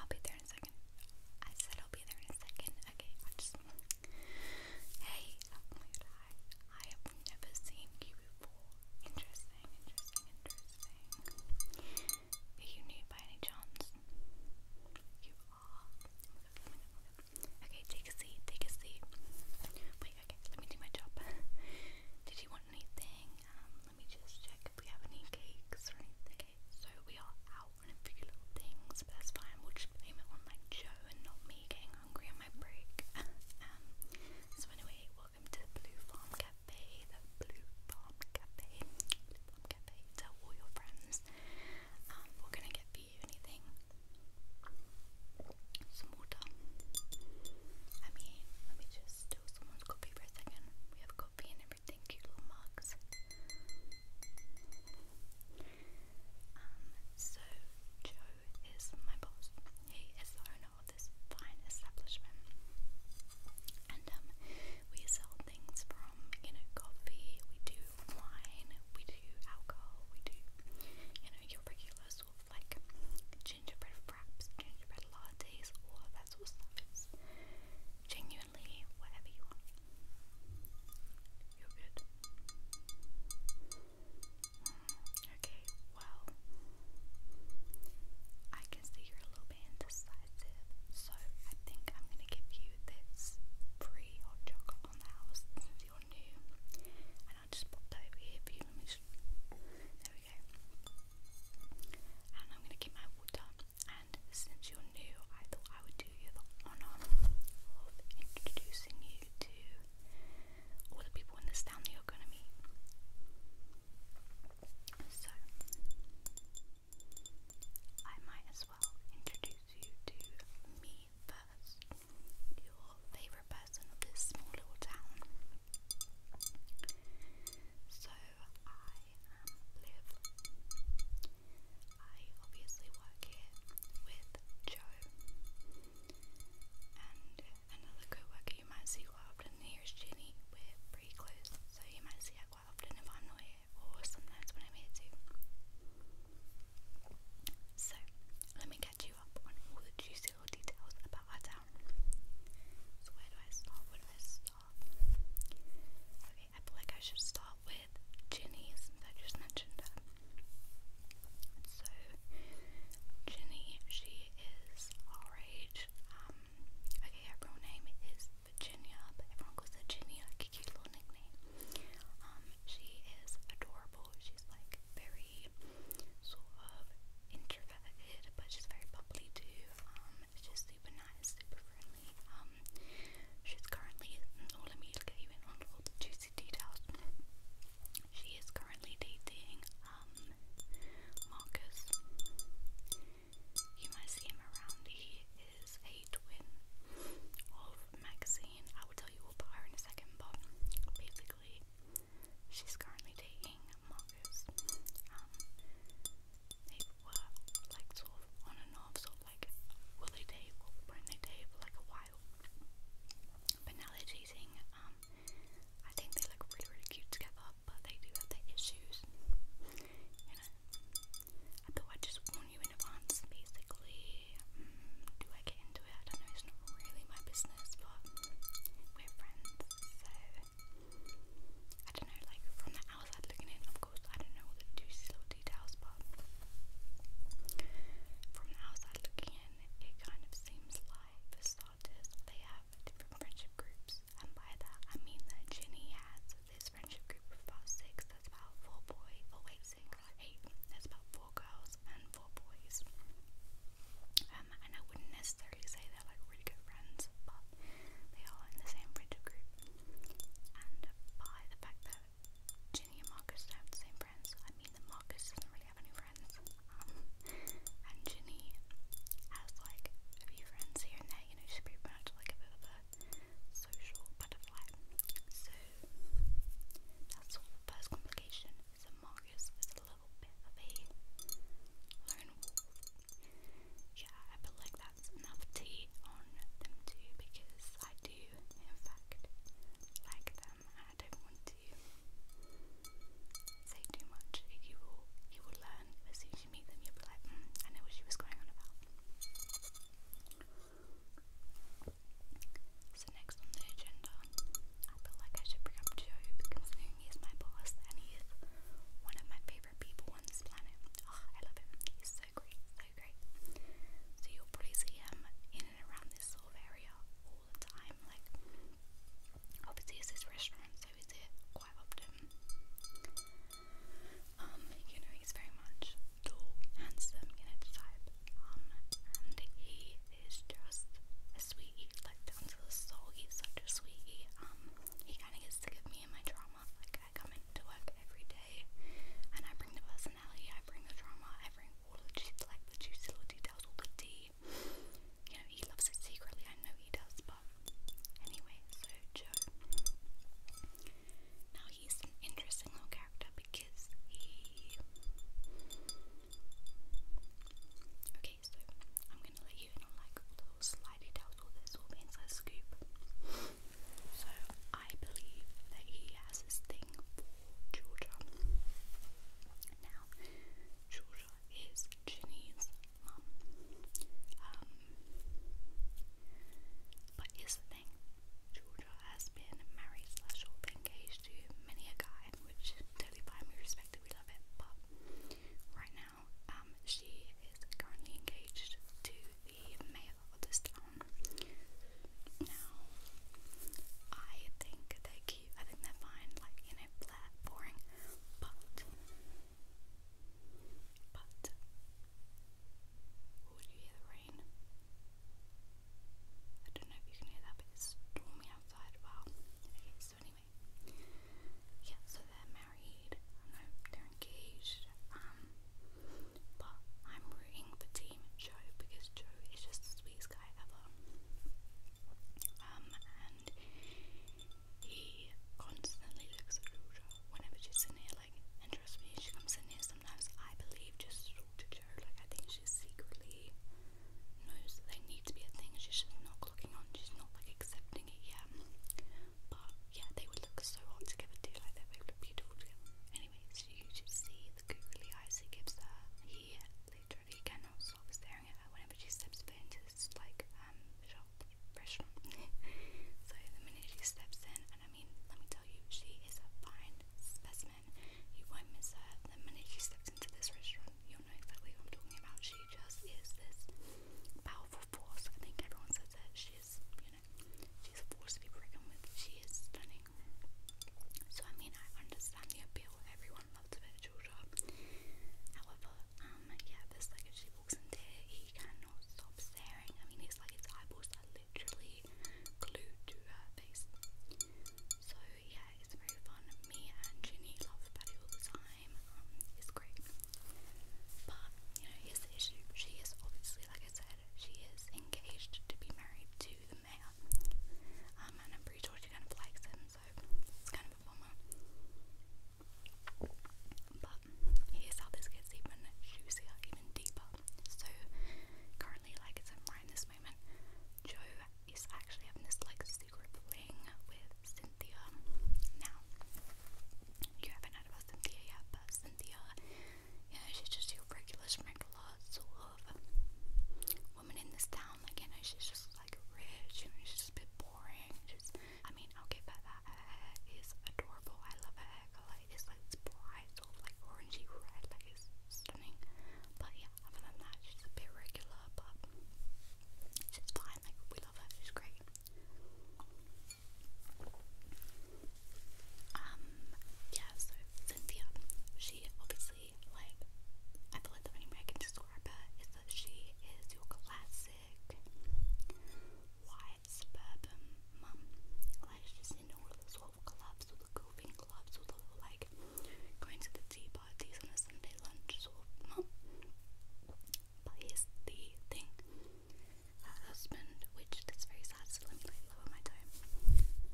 I'll be there in a second. I said I'll be there in a second. Okay, I just. Hey, I, have never seen you before. Interesting, interesting, interesting. Are you new by any chance? You are. Okay, take a seat, take a seat. Wait, okay, let me do my job. Did you want anything? Um, let me just check if we have any cakes or anything. so we are out on a few little things, but that's fine. We'll just blame it on like Joe and not me getting hungry on my break. Um, so anyway, welcome to Blue Farm Cafe. The Blue Farm Cafe. Tell all your friends. Um, we're gonna get for you anything. Some water. I mean, let me just steal someone's coffee for a second. We have coffee and everything, cute little mugs. Um, so Joe is my boss. He is the owner of this fine establishment, and um, we sell things from you know coffee. We do wine. We do alcohol. We do you know your regular sort like gingerbread wraps, gingerbread lattes, all of Genuinely, whatever you want. You're good. Mm, okay, well, I can see you're a little bit indecisive, so I think I'm gonna give you this free hot chocolate on the house since you're new. And i just pop over here for you. There we go. And I'm going to get my water. And since you're new, I thought I would do you the honour of introducing you to all the people in this town that you're going to meet. So, I might as well introduce you to me first, your favourite person of this small little town. So I am I obviously work here with Joe. And another co-worker you might see quite often here is Ginny. We're pretty close, so you might see her quite I'm here or sometimes when I'm here too. So, let me catch you up on all the juicy little details about our so where do I start? Where do I start? Okay, I feel like I should start with Ginny since I just mentioned her. So Ginny, she is our age. Um, okay, her name is Virginia, but everyone calls her Ginny, cute little nickname. Um, she is adorable. She's like very sort of introverted, but she's very bubbly too. Um, it's just super nice, super friendly. Um, she's currently, oh let me get you in juicy details. She is currently dating um, Marcus. You might see him around. He is a twin of Maxine. I will tell you about her in a second, but basically, she's currently dating Marcus. Um, they were like sort of on and off, sort of like will they date or won't they date for like a while. But now they're dating. Um, I think they look really, really cute together, but they do have their issues. You know, I thought I'd just warn you in advance, basically. Mm, do I get into it? I don't know, it's not really my business, but we're friends, so I don't know, like from the outside looking in, of course, I don't know all the juicy little details, but from the outside looking in, it kind of seems like for starters, they have different friendship groups, and by that I mean that Ginny has this friendship group of about six, that's about four boys, or oh, wait, six, eight, that's about four girls and four boys and I wouldn't necessarily say they're like really good friends, but they are in the same friendship group. And by the fact that Ginny and Marcus don't have the same friends, I mean that Marcus doesn't really have any friends. Um, and Ginny has like a few friends here and there, you know, she's pretty much like a bit of a social butterfly. So that's the first complication. So Marcus is a little Yeah, I feel like that's enough tea on them too because I do, in fact, like them I don't want to say too much. You will, you will learn as soon as you meet them, you'll be like, hmm, I know what she was going on about. So next on the agenda I feel like I should bring up Joe because he my boss and he one of my favorite people on this planet. Ah, I love him. He's so great, so great. So you'll probably see him in and around this sort of area all the time. Like, obviously it's his restaurant, so he's here quite often. Um, you know, he's very much tall, handsome, you know, type. Um, and he is just a like down to the soul, he's such a sweetie. Um, he kind of gets sick of me and my drama. Like I come into work every day, and I bring the personality, I bring the drama, I bring all the ju like the juicy little details, all the tea. You know, he loves it secretly. I know he does, but anyway. So Joe, now he's an interesting little character because he. Okay, so i on like little slidey details, this, all the scoop. So I believe that he has this thing Georgia. Now, Georgia is Ginny's mum. Um, but here's the thing. Georgia has been married slash or engaged to many a guy, which totally fine, we respect it, rid right now um, she is currently engaged to the mayor of this town. Now, I think they're cute, I think they're fine, like, you know, flat, boring, but, but, would you hear the rain? I don't know if you can hear that, but it's stormy outside. Wow. Okay, so yeah, so they're married, no, they're engaged, um, but I'm rooting for Team Joe because Joe is just the sweetest guy ever. Um, and he constantly looks at Georgia whenever she's in here, like, and trust me, she comes in here sometimes, I believe, just to Joe, like, I think she's secretly knows that they need to be a thing and she's just not clocking on, she's not like accepting it yet. But yeah, they would look so hot together too, like they would look beautiful together. Anyway, so you should see the googly eyes he gives her. He literally cannot stop staring at her whenever she steps foot into this like um shop restaurant. so the minute she steps in and I mean let me tell you, she is a fine specimen. You won't miss her. The minute she steps into this restaurant, you'll know exactly who I'm talking about. She just is this powerful force. I think everyone says that she is, you know, she's a force to be reckoned with. She is stunning. So I mean, I understand the appeal. Everyone loves a virtual However, um, yeah, this like if she walks into here, he cannot stop staring. I mean, it's like his eyeballs are literally glued to her face. So yeah, it's very fun. Me and Ginny love Patty all the time. Um, it's great. But, you know, here's the issue. She is obviously, like I said, she is engaged to be married to the mayor. Um, and I'm pretty sure she kind of likes him, so it's kind of a bummer. But here's how this gets even juicier, even deeper. So currently, like it's right in this moment, Joe is actually having this like Secret Bling with Cynthia. Now, you haven't heard about Cynthia yet, but Cynthia, yeah, she's just your regular sprinkler sort of woman in this town. Like, you she's just like rich she's just a bit boring. She's, I mean, I'll give her that. Her hair is adorable. I love her hair color. It's like bright, sort of like orangey red, like it's stunning. But yeah, other than that, she's a bit regular, but She's fine, like we love her, she's great. Um, yeah, so Cynthia, she obviously like I feel the only way I can describe is that she is your classic white suburban mum. Like she's in all the sort of clubs, all the golfing clubs, all the like going to the tea parties on a Sunday lunch sort of But here's the thing. Her husband, which that's very sad, so let me like lower my tone.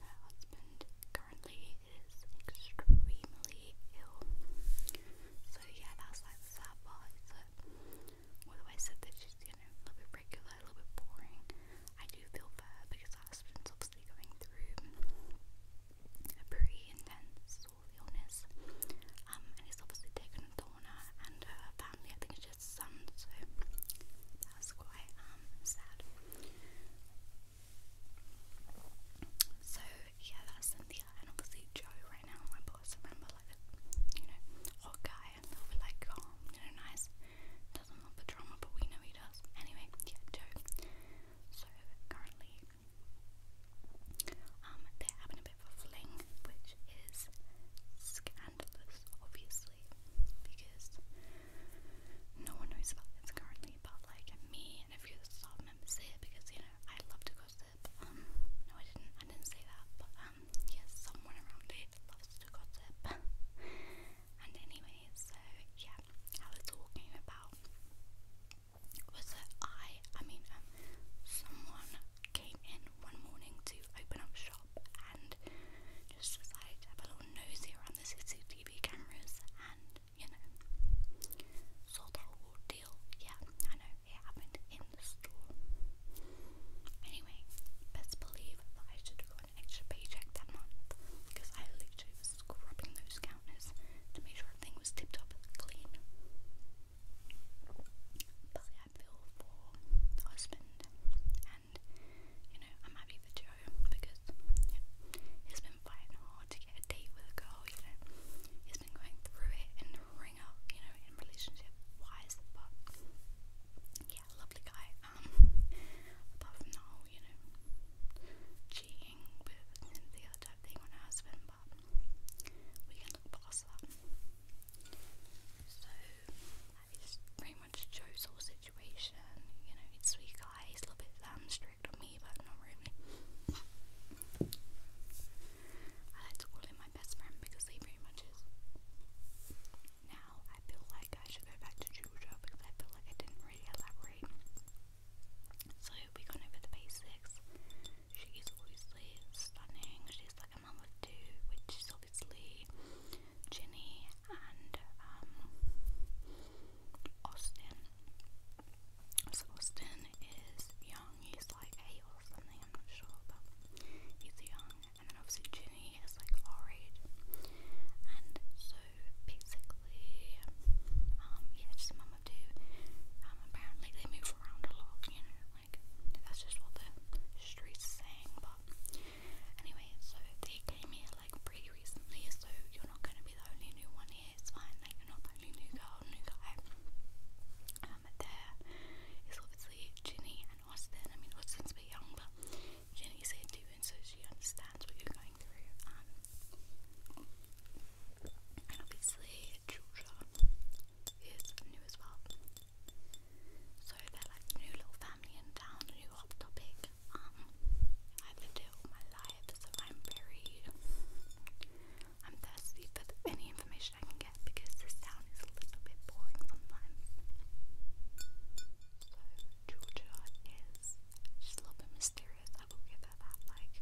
Her husband currently is extremely ill. So yeah, that's like sad part is that although I said that she's, you know, a little bit regular, a little bit boring, I do feel for because her husband's obviously going through a pretty intense illness, um, and it's obviously taken a and her family. I think it's just son, so that was quite um, sad. So yeah, that's Cynthia, and obviously Joe right now. My boss, remember like you know hot guy, a little like you know, nice. Doesn't love the drama, but we know he does. Anyway, yeah, Joe. So currently um, they're having a bit of a fling, which is scandalous, obviously, because no one knows about this currently, but like me and a few of the staff members because you know, I love to gossip. Um, no, I didn't, I didn't say that, but um, yes, someone around here loves to gossip. and anyway, so yeah, yeah, how this all came about was that I, I mean, um, someone came in one morning to open up shop and just decided to have a little nosy around the CCTV cameras and, you know, saw the whole deal. Yeah, I know, it happened in the store. Anyway, best believe that I should have got an extra paycheck that month because I literally scrubbing those counters to make sure everything was tip top clean. But I feel for the husband, and you know, I'm happy for Joe because you know, he's been fighting hard to get a date with a girl, you know, he's been going through it and ring up, you know, in relationship wise, but yeah, lovely guy. Um, apart from the whole, you know, cheating dating with Cynthia type thing on her situation. You know, he's sweet guy, he's a little bit strict on me, but not really. I like to my best friend because he pretty much is. Now I feel like I should go back to Georgia because I feel like I didn't really elaborate so we gone over the basics. She's obviously stunning. She's like a mum of two, which is obviously Ginny and um, Austin. So Austin is young. He's like eight or something. I'm not sure, but he's young. And then obviously Ginny is like our age. And so so basically, um, yeah, just a mum of two. Um, apparently they move around a lot, you know, like that's just what the streets are saying. But anyway, so they came here like pretty recently, so you're not gonna be the only new one here. It's fine, like you're not the only new girl, new guy. Um, there is obviously Ginny and Austin. I mean, Austin's a bit young, but Ginny's here too, and so she understands what you're going through. Um, and obviously, Georgia is new as well. So they're like the new little family in town, the new hot topic. Um, I've lived it all my life, so I'm very, I'm thirsty for any information I can get because this town is a little bit boring sometimes. So Georgia is just a little bit mysterious I will give her that. Like,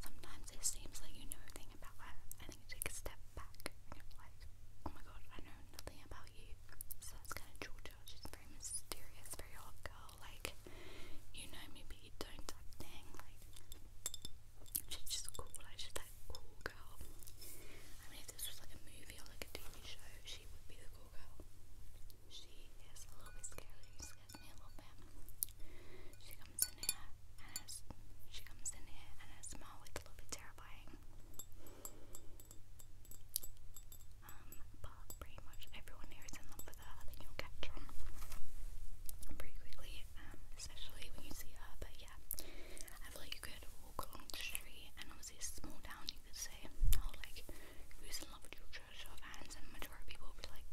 sometimes it seems like you know everything about her, and then you take a step back and you're like, oh my god, I know nothing about you. So that's kind of Georgia. She's very mysterious, very hot girl. Like, you know me, but you don't type thing. Like, she's just cool. Like, she's that cool girl. I mean, if this was like a movie or like a TV show, she would be the cool girl. She is a little bit scary. She scares me a little bit. She comes in here and it's, she comes in here and her smile is a little bit terrifying. Um, but pretty much everyone here is in love with her. I think you'll catch on pretty quickly, um, especially when you see her. But yeah, I feel like you could walk along the street and obviously it's a small town. You could say, oh, like who's in love with your church of hands and majority people be like,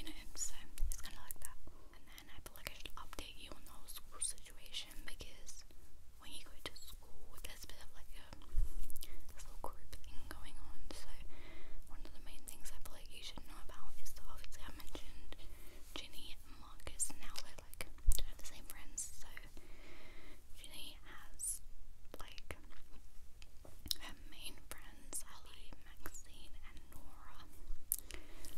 you know, so it's kind of like that. And then I feel like I should update you on the school situation because when you go to school, there's a bit of like a um, little group thing going on. So one of the main things I feel like you should know about is obviously I mentioned Ginny and Marcus. Now they're like the same friends, so Ginny has like her main friends Ali, Maxine, and Nora.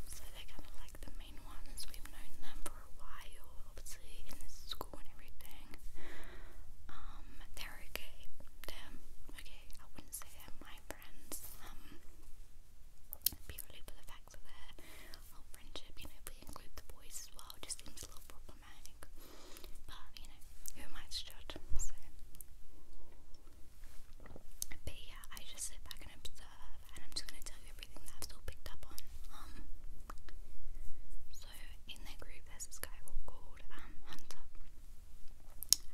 So they're kind of like the main ones. We've known them for a while, obviously, in this school and everything. Um, they're okay. They're okay. I wouldn't say they're my friends. Um, purely for the fact that their whole friendship, you know, if we include the boys as well, just seems a little problematic. But you know, who might judge? So, but yeah, I just sit back and observe, and I'm just gonna tell you everything that I've still picked up on. Um, so in their group, there's this guy called um, Hunter,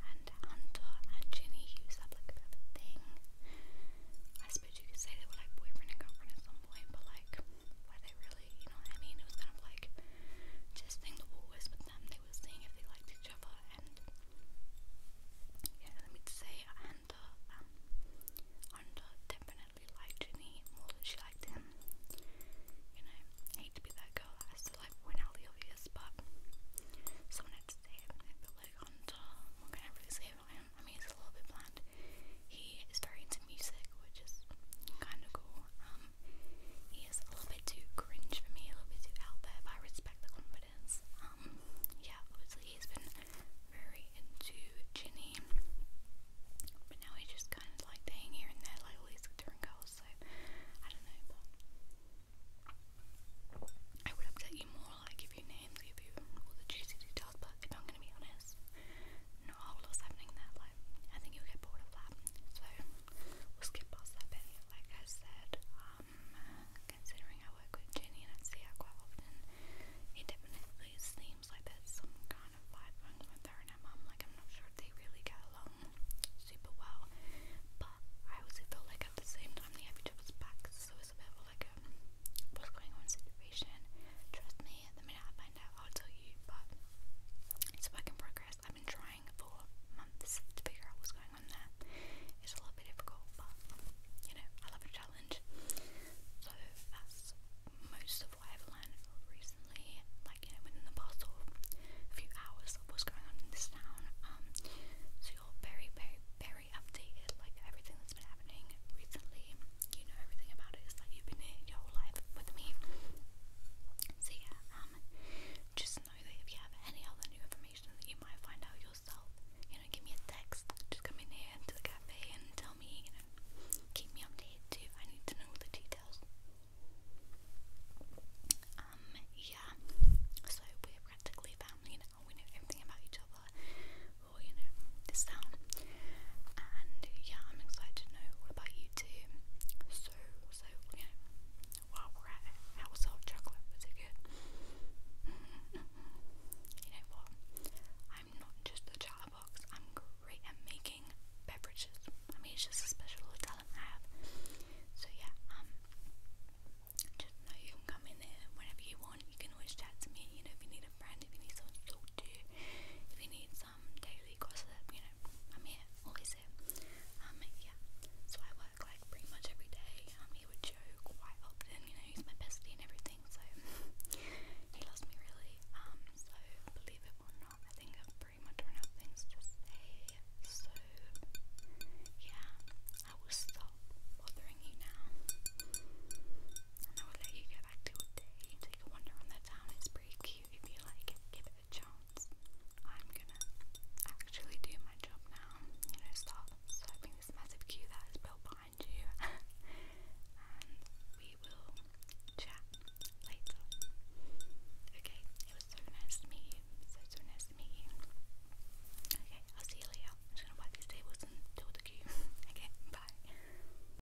and Hunter and Ginny used up like a thing. I suppose you could say they were like boyfriend and girlfriend at some point, but like were they really? really, you know what I mean? It was kind of like testing the waters with them. They were seeing if they liked each other, and yeah, let me say, Hunter, um, Hunter definitely liked Ginny more than she liked him. You know, I hate to be that girl that has to like point out the obvious, but someone had to say it. I feel like Hunter, what can I really say about him? I mean, he's a little bit bland. He is very into music, which is kind of cool. Um, he is a little bit too cringe for me, a little bit too out there, but I respect the confidence. Um, yeah, obviously he's been very into Ginny, but now he's just kind of like staying here and there, like all these different girls. So I don't know, I would update you more, like give you names, give you all the juicy details. But I'm gonna be honest, not a whole happening there, like, I think you'll get bored of that, so we'll skip past that bit, like I said, um, considering I work with Ginny and see her often, it definitely seems like there's some kind of vibe going with her and her mum, like, I'm not sure they really get along super well, but I also feel like at the same time they have each other's backs, so it's a bit of like what's going on situation, trust me, the minute I I'll tell you, but it's work in progress. I've been trying for months to figure out what's going on there. It's a little bit difficult, but you know, I love a challenge. So that's most of what I've learned recently, like you know, within the past few hours of what's going on in this town. Um, so you're very, very, very updated, like everything that's been happening recently you know everything about it. It's like you've been here your whole life with me. So yeah, um, just know that if you have any other new information that you might find out yourself, you know, give me a text. Just come in here to the cafe and tell me, you know, keep me updated I need to know the details. Um, yeah. So we're practically family now. We know everything about each other. you know, this sound and yeah, I'm excited to know all about you too. So, so you know, while we're at it, how was our chocolate? Was it good? you know what? I'm not just a chatterbox. I'm great at making beverages. I mean, it's just a special talent I have. So yeah, um, just know you can come in there whenever you want. You can always chat to me. You know, if you need a friend, if you need someone to talk to, if you need some daily gossip, you know, I'm here, always here. Um, yeah, so I work like pretty much every day. Um, he would joke quite often, you know, he's my bestie and everything, so he loves me really. Um, so believe it or not, I think I've pretty much run out of things to say, so yeah, I will stop bothering you now. And I will let you go back to your day, take a wander on the town. It's pretty cute if you like give it a chance. I'm gonna actually do my job now, you know, start swiping this massive queue that is built behind you, and we will chat later. Okay, it was so nice to meet you. So, so nice to meet you. Okay, I'll see you later. I'm just gonna wipe these tables and do the queue. okay, bye.